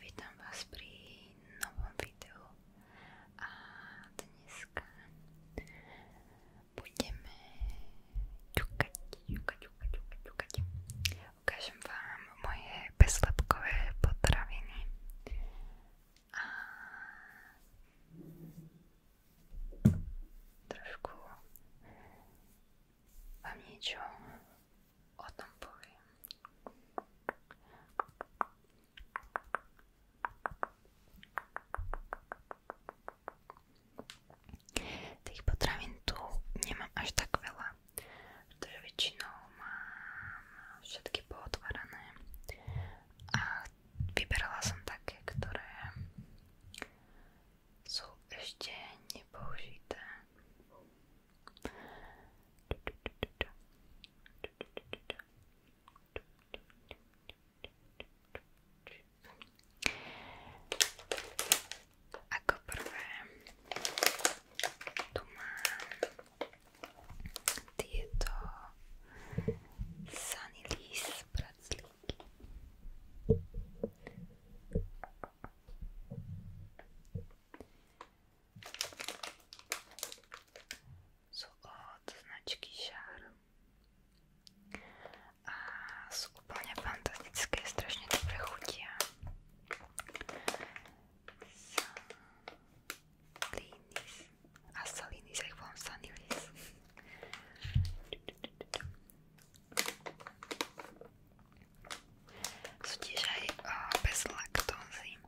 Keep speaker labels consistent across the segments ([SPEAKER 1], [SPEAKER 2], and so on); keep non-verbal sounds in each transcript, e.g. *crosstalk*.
[SPEAKER 1] Vítam vás pri novom videu a dneska budeme ťukať, ťukať, ťukať, ťukať, ťukať. Ukážem vám moje bezlepkové potraviny a trošku vám niečo o tom poviem. Tých potravín tu nemám až tak veľa, pretože väčšinou mám všetky pootvárané a vyberala som také, ktoré sú ešte nepoužité. Ako prvé tu mám tieto Sunny Lease praclíky. Sú od značky Šár a sú úplne fantastické, strašne dobre chutia. Salinis a Salinis, ja ich volám Sanilis. Sú tiež aj o, eh, bez laktózy.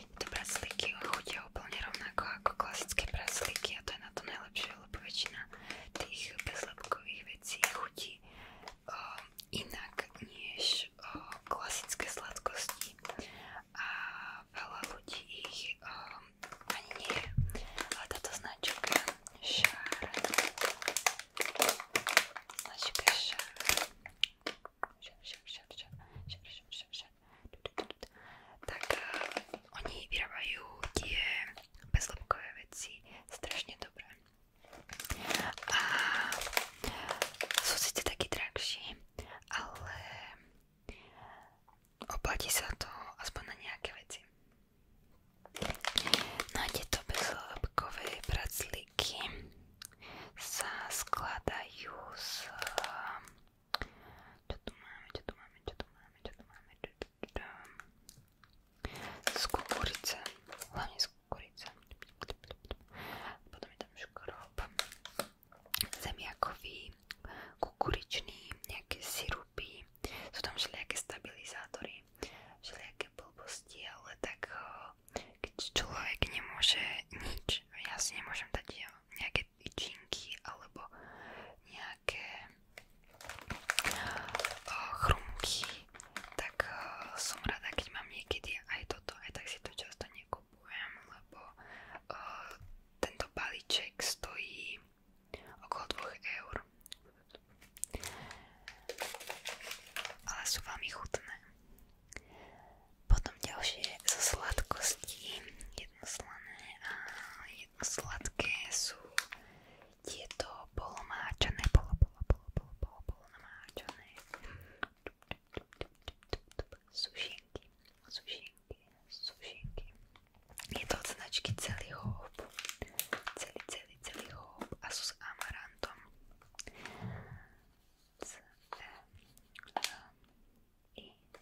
[SPEAKER 1] Tieto praslíky chutia úplne rovnako ako klasické praslíky a to je na to najlepšie, lebo väčšina tých bezlepkových vecí chutí o, inak než o, klasické sladkosti a veľa ľudí ich o, ani nie je. Ale táto značka Šár značka Šár Šar, šar, šar, šar, šar, šar, šar, že... Tak uh, oni vyrábajú tie bezlepkové veci strašne dobré. A sú síce takí drahší, ale oplatí sa to aspoň na nejaké veci. No a tieto bezlepkové pracliky sa skladajú z čo tu máme, čo tu máme, čo tu máme, čo tu máme, čo tu máme. Z kukurice, hlavne z kukurice. Potom je tam škrob, zemiakový, kukuričný, nejaké sirupy. Sú tam všelijaké stabilizátory, všelijaké blbosti, ale tak eh, keď človek nemôže nič, ja si nemôžem dať eh, nejaké nejaké tyčinky alebo nejaké eh, chrumky, tak eh, som rada, keď mám niekedy aj toto, aj tak si to často nekupujem, lebo eh, tento balíček stojí okolo 2 eur. Ale sú veľmi chutné. Potom ďalšie zo sladkostí je jedno slané a jedno sladké sú tieto polomáčané, polo, polo, polo, polo, polo, polo namáčané sušinky, sušinky, sušinky. Je to od značky celý hôb, celý, celý, celý hôb a sú s amarantom. C, E, M, I,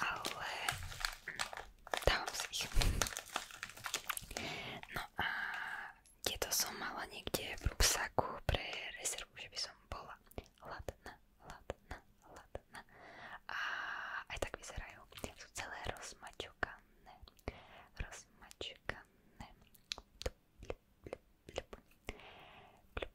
[SPEAKER 1] ale dávam si ich. No a tieto som mala niekde v ruksaku pre rezervu, že by som bola hladná, hladná, hladná. A aj tak vyzerajú. Sú celé rozmačukané, rozmačukané. Blup, blup, blup. Blup,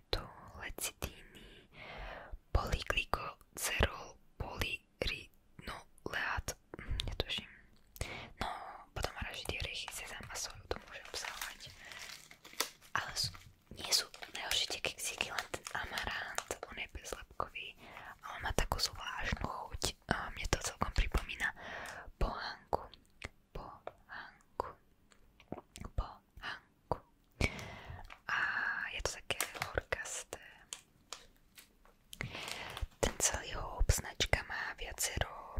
[SPEAKER 1] magnétu, lecitíny, polyglykocerol, polyrinoleát, hm, netuším. No, potom ražidie orechy, sezam a soju, to môže obsahovať. Ale sú, nie sú najhoršie tie keksíky, len ten amarant, on je bezlepkový a on má takú zvláštnu chuť. A mne to celkom pripomína pohánku. Pohánku. Pohánku. Hanku. A je to také horkasté. Ten celý houp značka má viacero,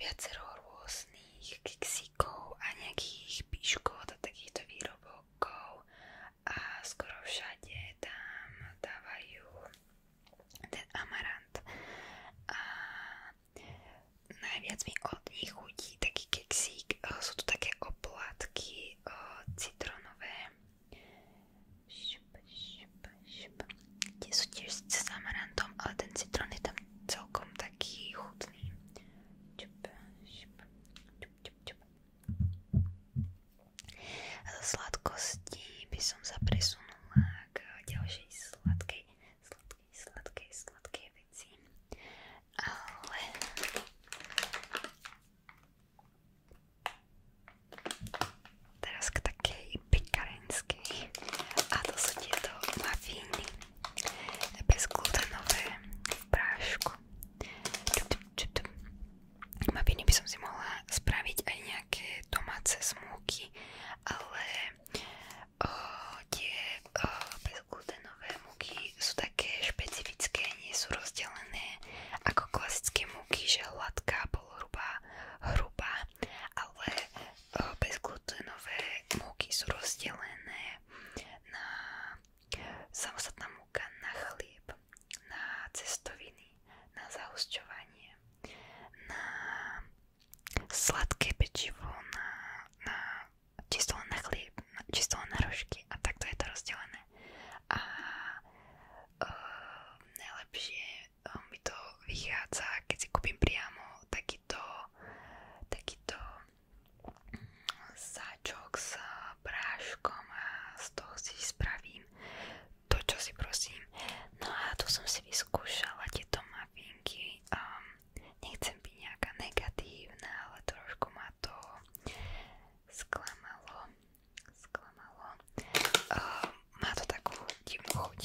[SPEAKER 1] viacero rôznych kiksíkov a nejakých píškot a takýchto výrobokov a skoro všade tam dávajú ten amarant a najviac mi od nich chutí taký keksík. Eh, sú tu také oplátky eh, citrónové. Šup, šup, šup. Tie sú tiež s amarantom, ale ten citrón je tam celkom taký chutný. Šup, šup, šup, šup, šup. A zo sladkosti by som sa presunula k ďalšej sladkej. Sladkej sladkej, sladkej veci. Ale... Teraz k takej pekarenskej. A to sú tieto mafíny. Bezglutenové v prášku. Mafíny by som si mohla spraviť aj nejaké domáce smúky, ale o, eh, tie o, eh, bez glútenové múky sú také špecifické, nie sú rozdelené ako klasické múky, že hladká, polhrubá, hrubá, ale e, bezglutenové múky sú rozdelené na samostatná múka, na chlieb, na cestoviny, na zahusťovanie, na sladké pečivo, na, na čisto len na chlieb, čisto len na rožky a takto je to rozdelené. A uh, najlepšie uh, mi to vychádza, keď si kúpim priamo takýto, takýto mm, sáčok s práškom a z toho si spravím to, čo si prosím. No a tu som si vyskúšala tieto mafinky. Um, nechcem byť nejaká negatívna, ale trošku ma to sklamalo, sklamalo. Uh, má to takú divnú chuť.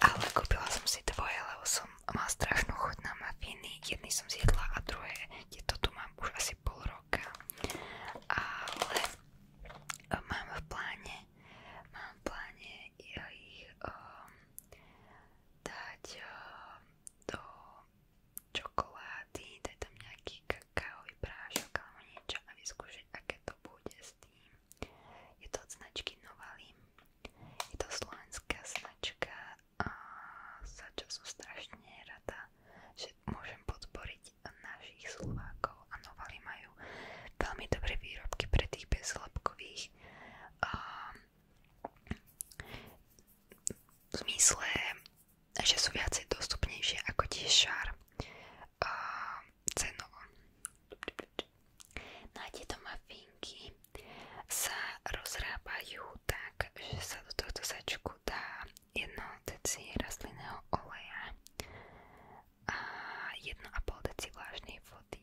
[SPEAKER 1] Ale kúpila som si dvoje, lebo som mala strašnú chuť na mafiny. Jedny som zjedla a druhé, tieto tu mám už asi pol roka. Ale uh, mám v pláne, mám v pláne ich um, dať um, do čokolády, daj tam nejaký kakaový prášok alebo niečo a vyskúšať, aké to bude s tým. Je to od značky Novalim. Je to slovenská značka a za čo som strašne rada, že môžem podporiť našich Slovákov a Novali majú veľmi dobré výrobky pre tých bezlepkových. Um, v zmysle, že sú viacej dostupnejšie ako tie šar uh, cenovo. No mafinky sa rozrábajú tak, že sa do tohto sačku dá jedno deci oleja a 1,5 deci vlážnej vody.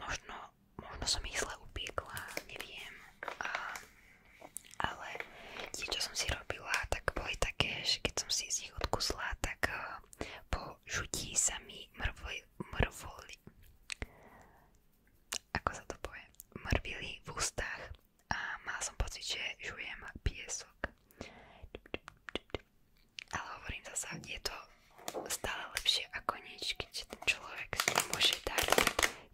[SPEAKER 1] možno, možno som ich zle upiekla, neviem. A, ale tie, čo som si robila, tak boli také, že keď som si z nich odkusla, tak uh, po žutí sa mi mrvoli, mrvoli ako sa to povie, mrvili v ústach a mala som pocit, že žujem piesok ale hovorím zasa, je to stále lepšie ako nič, keď ten človek môže dať,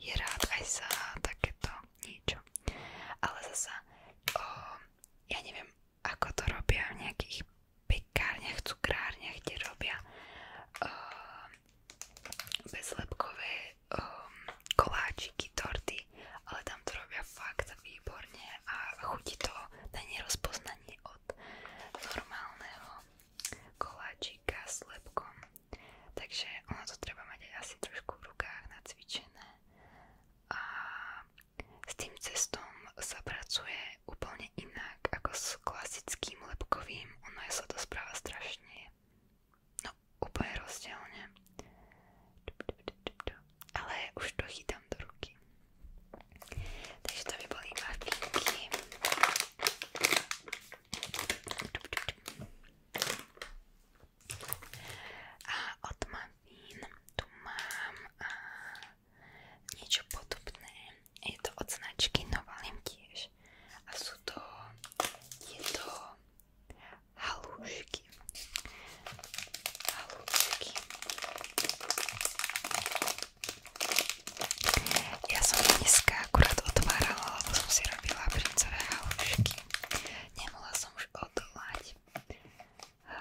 [SPEAKER 1] je rád aj za takéto niečo. Ale zasa, o, ja neviem, ako to robia v nejakých pekárniach, cukrárniach, kde robia o, bezlepkové o, koláčiky, torty, ale tam to robia fakt výborne a chutí to na nerozpoznanie od normálneho koláčika s lepkom. Takže ono to treba mať asi trošku v rukách nacvičené. A s tým cestom sa pracuje úplne inak s klasickým lepkovým. Ono je sa to správa strašne. No úplne rozdielne. Ale už to chytám dám do ruky. Takže to by boli iba finky. A od Mavín tu mám a niečo podobné. Je to od značky Novalim tiež. A sú to tieto halúšky. Halúšky. Ja som dneska akurát otvárala, lebo som si robila princové halušky. Nemohla som už odolať. A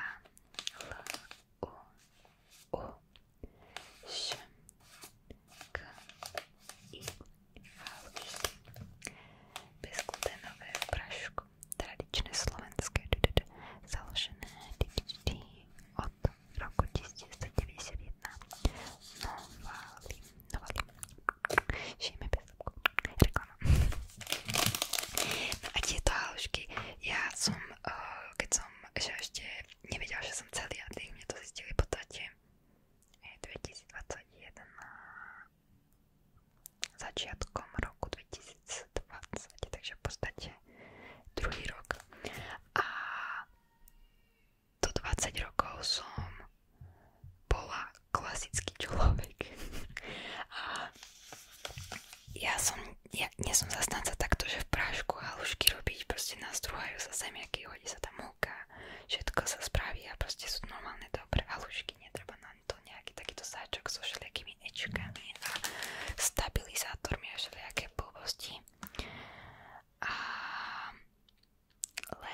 [SPEAKER 1] L U U Š K I halušky. Bezglutenové v prašku. Tradičné slovenské. Založené. Dí, dí, dí od roku 1991 Novali, Novali, žijeme bez reklama. No eh, keď som, že ešte že som celý a tých to zistili v podstate 2021 začiatkom roku 2022 2020, takže v podstate druhý rok. A do 20 rokov som bola klasický človek. A ja som, ja takto, že v prášku halušky robiť, proste nastruhajú sa zemiaky, hodí sa tam múka, všetko sa spraví a proste sú normálne dobré halušky, netreba na to nejaký takýto sáčok so všelijakými rôznymi ečkami a stabilizátormi a všelijaké blbosti. A ale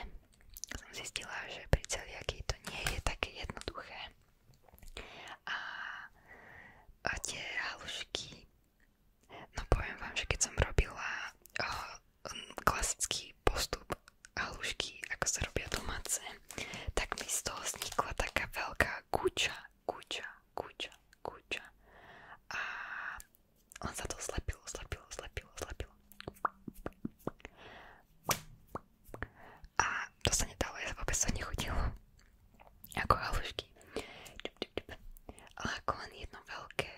[SPEAKER 1] som že pri to nie je také jednoduché. A, a tie halušky, no vám, že keď som robila klasický postup halušky, ako sa robia domáce, tak mi z toho vznikla taká veľká kuča, kuča, kuča, kuča a on sa to slepilo, slepilo, slepilo, slepilo. A to sa nedalo, ja vôbec to nechutilo. Ako halušky. Ale ako len jedno veľké,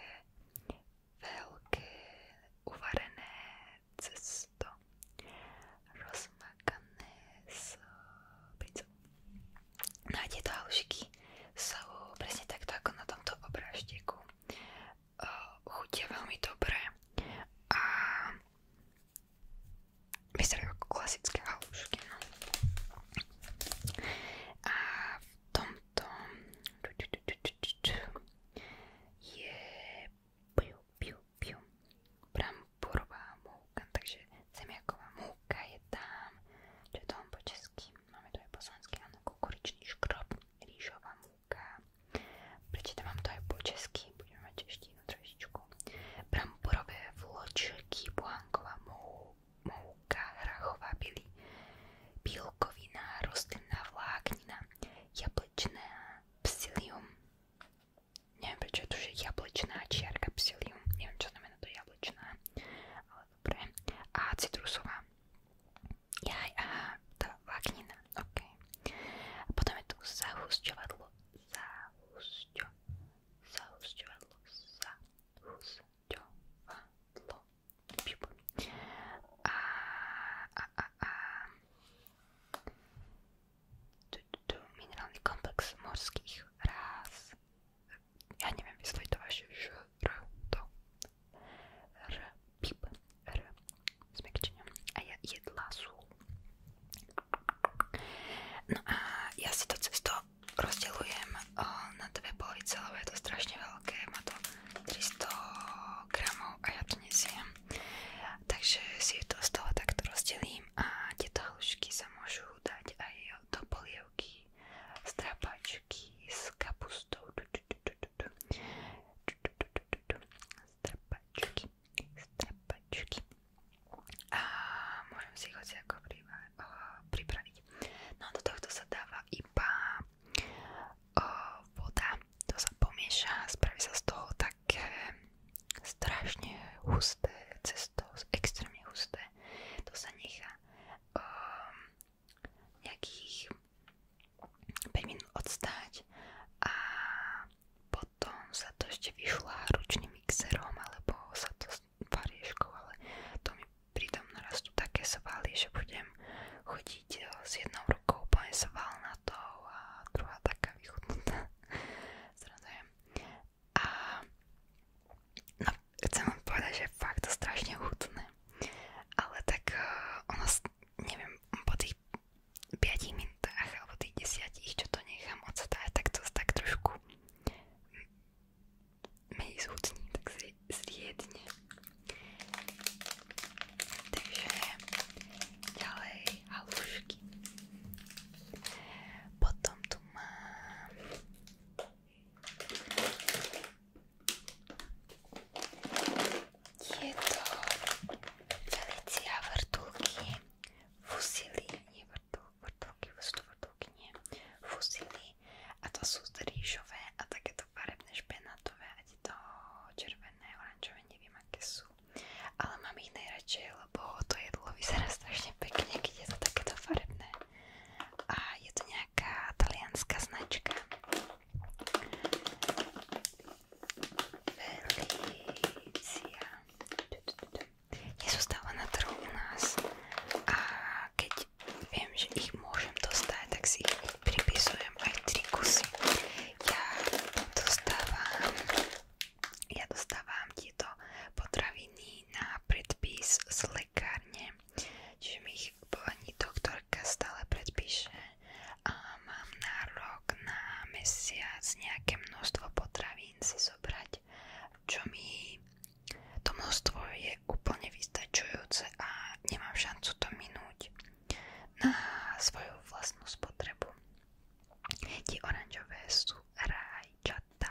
[SPEAKER 1] veľké, uvarené cesto. Rozmakané s princov. No a tieto halušiky sú presne takto ako na tomto obrážteku. Chutia veľmi dobre a vyzerajú ako klasické halušky. No. A v tomto je piu, piu, piu, bram, borová múka, takže zemiaková múka je tam, čo je tam po česky, máme tu aj poslanský, áno, kukuričný škrob, rýžová múka, prečítam vám to aj po česky, budeme mať češtinu trošičku, bramborové vločky, buhanková mou, mouka, hrachová byli, bílkovina, rostlinná vláknina, jablečná, psyllium, neviem prečo je tu, že jablečná čiarka psilium, neviem čo znamená to jablečná, ale dobre, a citrusová, jaj, aha, tá vláknina, ok. A potom je tu zahusťovadlo, zahusťo, zahusťovadlo, zahusťovadlo, a, a, a, a, tu, tu, tu, minerálny komplex morských ráz ja neviem vysloviť to vaše ž, r, to. R, pip, r, smekčenia. A ja jedla sú. No a ja si to cesto rozdelujem na dve polovice, lebo je to strašne veľké, má to 300 gramov a ja to nesiem. Takže si to z toho takto rozdelím a tieto hĺžky sa môžu dať aj do strapačky s kapustou, strapačky, strapačky a môžem si ich hoci ako No do tohto sa dáva iba o, voda, to sa pomieša, spraví sa z toho také strašne husté cesto, extrémne husté čerstvé. To sa nechá um, nejakých 5 minút odstáť a potom sa to ešte vyšlá ručným mixerom alebo sa to s varieškou, ale to mi pritom narastú také svaly, že budem chodiť e, s jednou rukou úplne svalnatou a druhá taká vychutnutá. *laughs* Zradujem a no, chcem vám povedať, že fakt to strašne hutné, ale tak uh, ono, neviem, po tých 5 minútach alebo tých 10, čo to nechám odstáť, tak to tak trošku menej zhutní, tak zri zriedne. Takže ďalej halušky. Potom tu mám. Je to Felicia vrtulky, fusily, nie vrtulky, vrtulky, vrtulky, nie, fusily a to sú rýžové a takéto farebné špenátové a to červené, oranžové, neviem aké sú, ale mám ich najradšej radšej, lebo to jedlo vyzerá strašne pekne, keď je to takéto farebné. A je to nejaká talianská značka. Felicia. Nie sú stále na trhu u nás. A keď viem, že ich môžem dostať, tak si ich pripisujem aj tri kusy. Ja dostávam ja dostávam tieto potraviny na predpis z lekárne, čiže mi ich pani doktorka stále predpíše a mám nárok na mesiac nejaké množstvo potravín si zobrať, čo mi to množstvo je úplne vystačujúce a nemám šancu to minúť na svoju vlastnú spotrebu. Tie oranžové sú rajčata,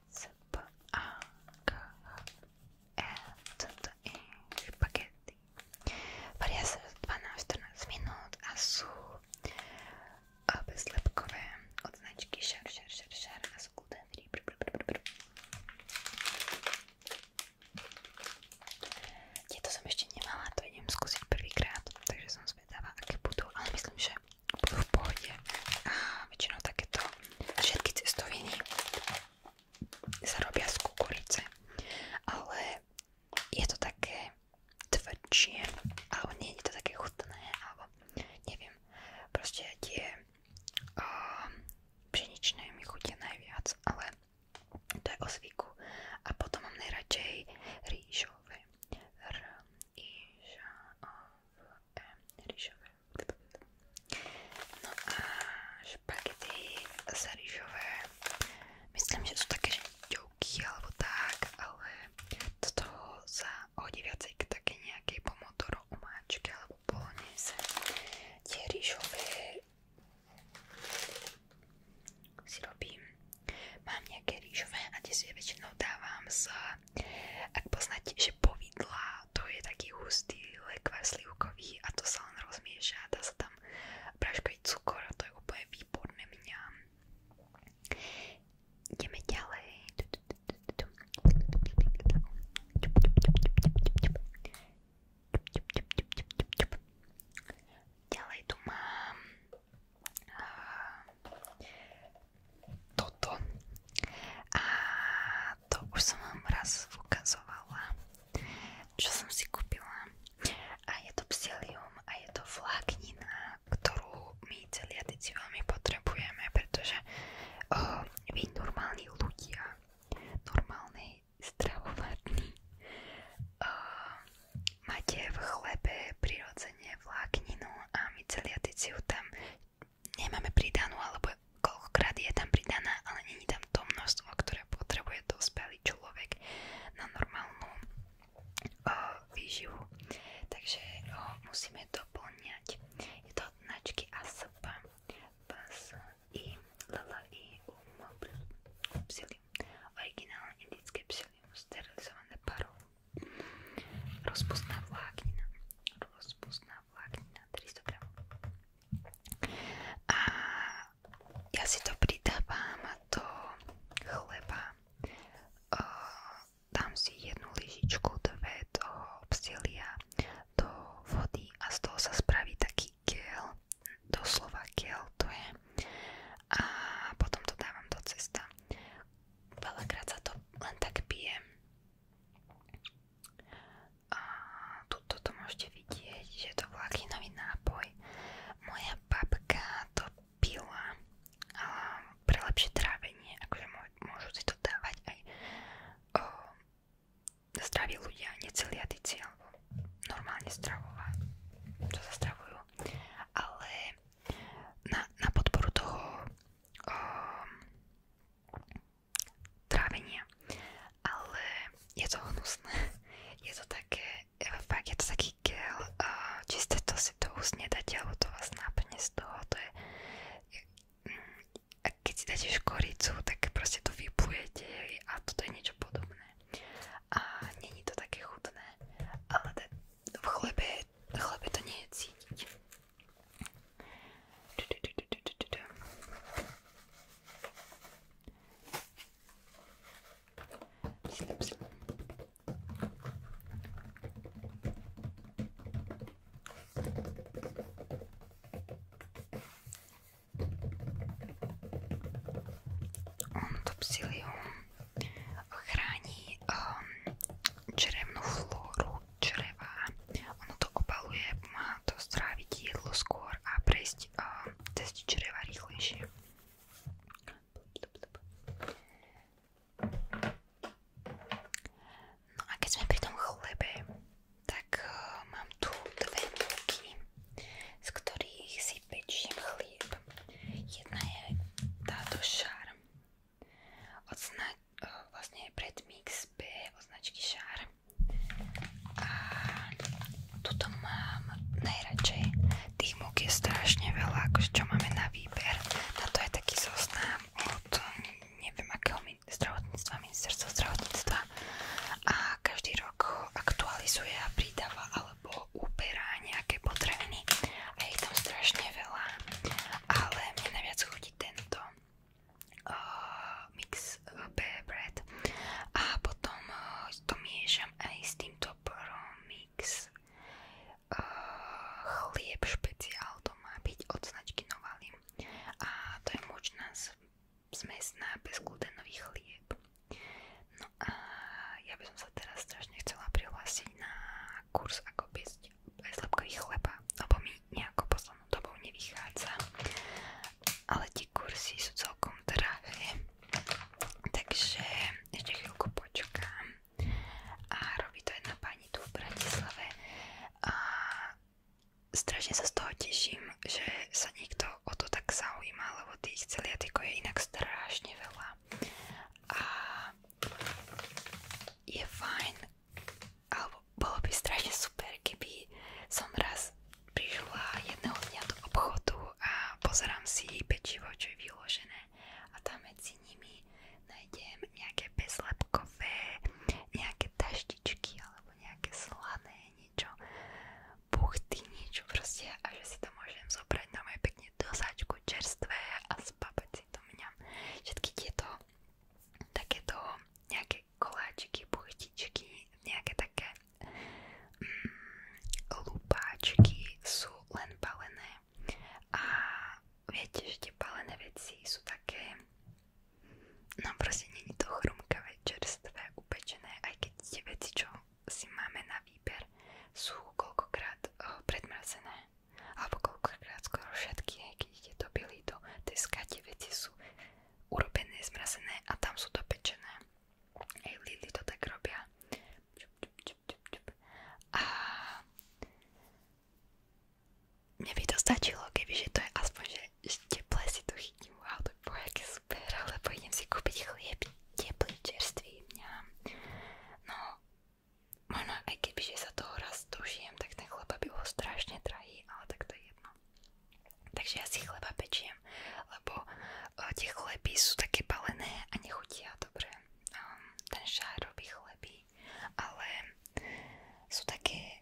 [SPEAKER 1] S P A K H E C T I špagety. Varia sa 12-14 minút a sú bezlepkové od značky Šar Šar Šar Šar a sú gluten free. Tieto som ešte nemala, to idem skúsiť prvýkrát, takže som zvedavá, aké budú, ale myslím, že budú v pohode. A väčšinou takéto všetky cestoviny sa robia ale je to také tvrdšie, alebo nie to také chutné, alebo neviem, proste tie mi chutia najviac, ale to je o zvyku. A potom mám najradšej rýžové, r, e, No a špagety sa rýžové. Myslím, že sú také žďovky alebo tak, ale toto sa hodí viacej k také nejakej alebo polonese. Tie rýžové Mám nejaké rýžové a tie si väčšinou dávam ak poznáte, že povidla, to je taký hustý lekvár slivkový a to sa len rozmieša, dá sa tam práškový cukor a to je úplne výborné mňa. Ideme ďalej. Ďalej tu mám toto a a to už som vám raz ukazovala, čo som si kúpila. A je to psilium a je to vláknina, ktorú my celiatici veľmi potrebujeme, pretože oh, vy normálni ľudia, normálni stravovadní, oh, máte v chlebe prirodzene vlákninu a my celiatici ju tam nemáme pridanú, alebo koľkokrát je tam pridaná, ale není tam to množstvo, ktoré potrebuje dospelý človek na normálnu uh, výživu. Takže ho musíme doplňať. Je to od a ASP, PAS, I, lala i Psyllium, originálne indické psily. sterilizované parou, rozpustná vláknina, bolo spustná vláknina 300 g. A ja si to pridávam do chleba. E, dám si jednu lyžičku, dve do obsilia, do vody a z toho sa spraví taký gel, doslova gel to je. A potom to dávam do cesta. Veľakrát sa to len tak pije tuto to môžete vidieť, že to bol akinový nápoj. Moja babka to pila um, pre lepšie trávenie, akože môžu si to dávať aj um, zdraví ľudia, neceliatici alebo normálne stravová, čo sa stravujú. Ale na, na podporu toho um, trávenia. Ale je to hnusné. Je to také, e, fakt je to taký gel, uh, čisté to si to úst nedáte, alebo to vás náplne z toho, to je, mm, a keď si dáte škoricu, tak proste to vyplujete a toto je niečo podobné. A není to také chutné, ale v chlebe, v chlebe to nie je cítiť. On to psilium chráni um, črevnú flóru čreva. Ono to opaluje, pomáha to stráviť jedlo skôr a prejsť uh, cez čreva rýchlejšie. No a keď sme pri tom chlebe, tak uh, mám tu dve múky, z ktorých si pečiem chlieb. Jedna je táto šarm od snaď vlastne predmix B od značky Šár. A tuto mám najradšej. Tých múk je strašne veľa, akože čo máme na výber. Na to je taký zoznam od neviem akého min zdravotníctva, ministerstva zdravotníctva. A každý rok ho aktualizuje a pridáva alebo uberá nejaké potraviny. A je tam strašne veľa. Ale mne najviac chodí tento uh, mix uh, bread a potom uh, to miešam aj s týmto promix uh, špeciál to má byť od značky Novalim a to je močná zmesná bezglutenový chlieb no a ja by som sa teraz chcela prihlásiť na kurz ako piecť slepkových chleba, lebo mi nejako poslednú dobou nevychádza. Ale tie kursy sú celkom drahé, takže ešte chvíľku počkám. A robí to jedna pani tu v Bratislave a strašne sa z toho teším, že sa niekto o to tak zaujíma, lebo tých celiatikov je inak strašne veľa. A je fajn, alebo bolo by strašne super, keby som raz prišla jedného dňa do obchodu a pozerám si pečivo, čo je vyložené a tam medzi nimi nájdem nejaké bezlepkové, nejaké taštičky alebo nejaké slané niečo, buchty, niečo proste a že si to môžem zobrať na moje pekne dosačku čerstvé a spapať si to mňam. Všetky tieto takéto nejaké koláčiky, buchtičky, nejaké také mm, lupáčky sú len balené. A viete, že tie balené veci sú také, no proste nie je to chrumkavé, čerstvé, upečené, aj keď tie veci, čo si máme na výber, sú koľkokrát oh, predmrazené. Alebo koľkokrát skoro všetky, keď idete do bielito, tie skatie veci sú urobené, zmrazené a tam sú dopečené. Hej, Lidl to tak robia. A mne by to stačilo, kebyže to je aspoň, že teple si to chytím. Wow, to bolo aké super, lebo idem si kúpiť chlieb teplý, čerstvý. Mňam. No, možno aj kebyže sa toho raz dožijem, tak ten chleba by bol strašne drahý, ale tak to je jedno. Takže ja si chleba pečiem, lebo uh, tie chleby sú také balené a nechutia dobre. Um, ten šár robí chleby, ale sú také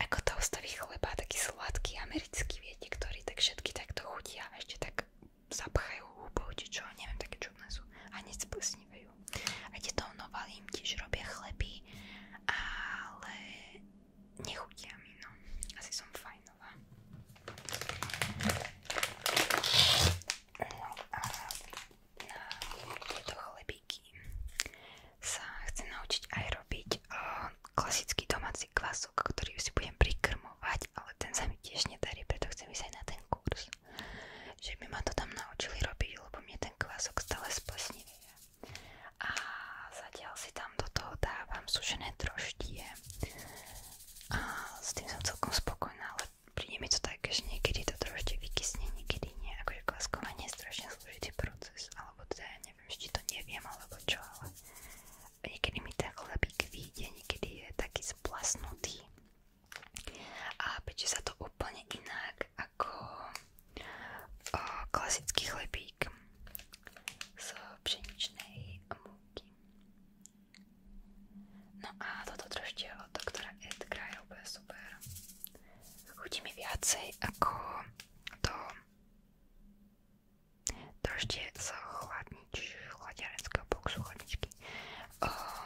[SPEAKER 1] ako toastový chleba, taký sladký americký, viete, ktorý tak všetky takto chutia a ešte tak zapchajú húbou, či čo, neviem, také čudné sú a hneď splsnívajú. A tieto novalím tiež robia chleby chutí, ale nechutia mi, no. Asi som fajnová. No a na tieto chlebíky sa chcem naučiť aj robiť uh, klasický domáci kvások, ktorý si budem prikrmovať, ale ten sa mi tiež nedarí, preto chcem ísť aj na ten kurz. Že by ma to tam naučili robiť, lebo mne ten kvások stále splesniví a zatiaľ si tam do toho dávam sušené troštie a s tým som celkom spokojná, ale príde mi to také, že niekedy to trošte vykysne, niekedy nie, akože klaskovanie je strašne zložitý proces, alebo teda ja neviem, či to neviem, alebo čo, ale niekedy mi tak chlebík vyjde, niekedy je taký splasnutý a peče sa to úplne inak ako klasický chlebík z pšeničnej múky. No a toto držte od doktora Ed Kraja, úplne super. Chutí mi viacej ako to držte z chladnič, chladiarenského boxu chladničky. Um,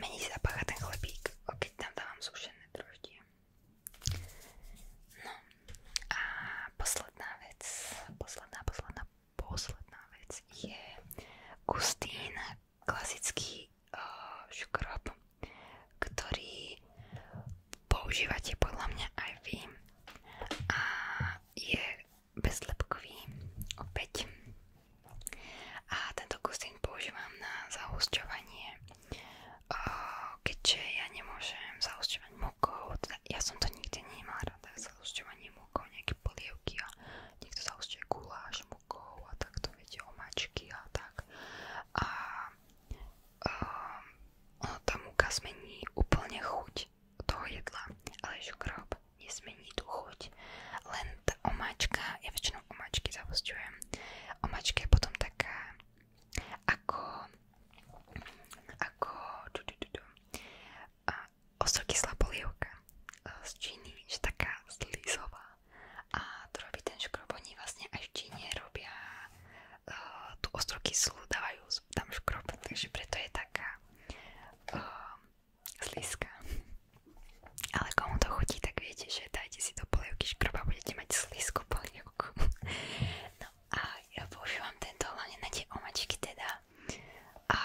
[SPEAKER 1] Menej zapácha ten chlebík, keď tam dávam sušené droždie. No a posledná vec, posledná, posledná, posledná vec je Gustín, klasický uh, škrob, ktorý používate podľa mňa aj vy a je bezlepkový opäť a tento kostín používam na zahusťovanie, keďže ja nemôžem zahusťovať mukou, teda ja to nikdy nemala rada, zahusťovanie mukou, nejaké polievky a niekto zahusťuje guláš mukou a takto, viete, omáčky a tak. A um, ono, zmení úplne chuť toho jedla, ale škrob nezmení tú chuť, len tá omáčka je väčšinou väčšinou omačky zavosťujem. Omačka je potom taká ako ako du, du, du, du, uh, ostrokyslá polievka e, z Číny, že taká slizová a to robí ten škrob, oni vlastne aj v Číne robia uh, tú ostrokyslú, dávajú tam škrob, takže preto je taká uh, ale komu to chutí, tak viete, že dajte si do polievky škroba, budete mať slízku polievku. *laughs* No a ja používam tento hlavne na tie omačky teda. A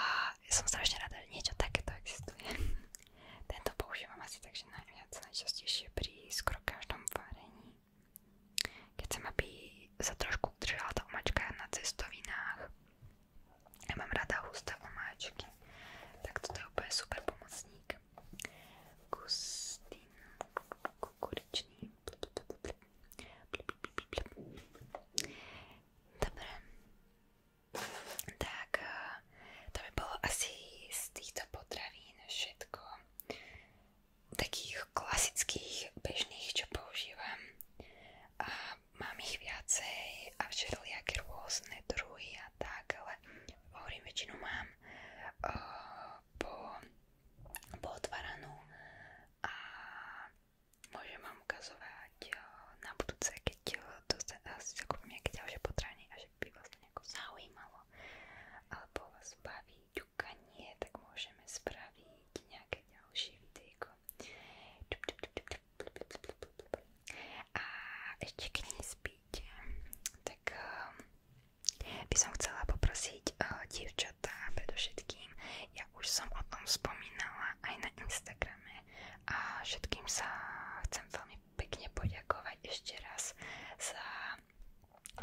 [SPEAKER 1] som strašne rada, že niečo takéto existuje. *laughs* Tento používam asi takže najviac, najčastejšie pri skoro každom varení. Keď chcem, mám rada husté omáčky. Tak toto je úplne super pomocník. Gustín kukuričný. Dobre. Tak, eh, to by bolo asi z týchto potravín všetko. Takých klasických, bežných, čo používam. A mám ich viacej a všelijaké rôzne druhy a tak, ale hovorím, väčšinu mám eh, po, pootvaranú a môžem vám eh, na budúce, keď uh, eh, si zakúpim nejaké ďalšie a že by vás to nejako zaujímalo alebo vás baví ťukanie, tak môžeme spraviť nejaké ďalšie videjko. A ešte keď nespí, robiť, tak uh, by som chcela poprosiť uh, dievčatá predovšetkým. Ja už som o tom spomínala aj na Instagrame a všetkým sa chcem veľmi pekne poďakovať ešte raz za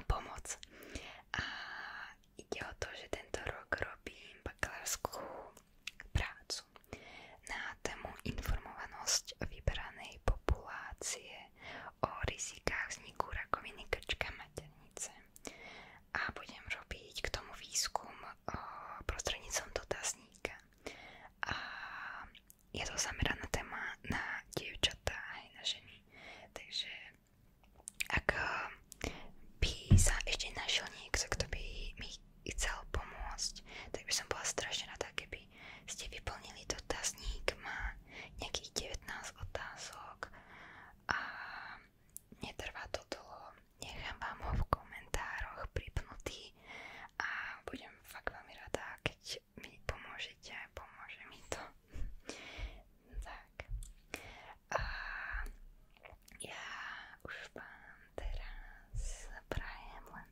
[SPEAKER 1] pomoc. A ide o to, že tento rok robím bakalárskú prácu prácu na tému informovanosť vyberanej populácie o rizikách vzniku rakoviny krčka maternice. A budem robiť k tomu výskum prostredníctvom dotazníka. A je to zameraná téma na dievčatá aj na ženy. Takže ak by sa ešte našiel niekto, kto by mi chcel pomôcť, tak by som bola strašne rada, keby aby ste vyplnili dotazník, má nejakých 19 otázok a netrvá to dlho. Nechám vám ho v komentároch pripnutý a budem fakt veľmi rada, keď mi pomôžete, pomôže mi to. *laughs* tak. A ja už vám teraz prajem len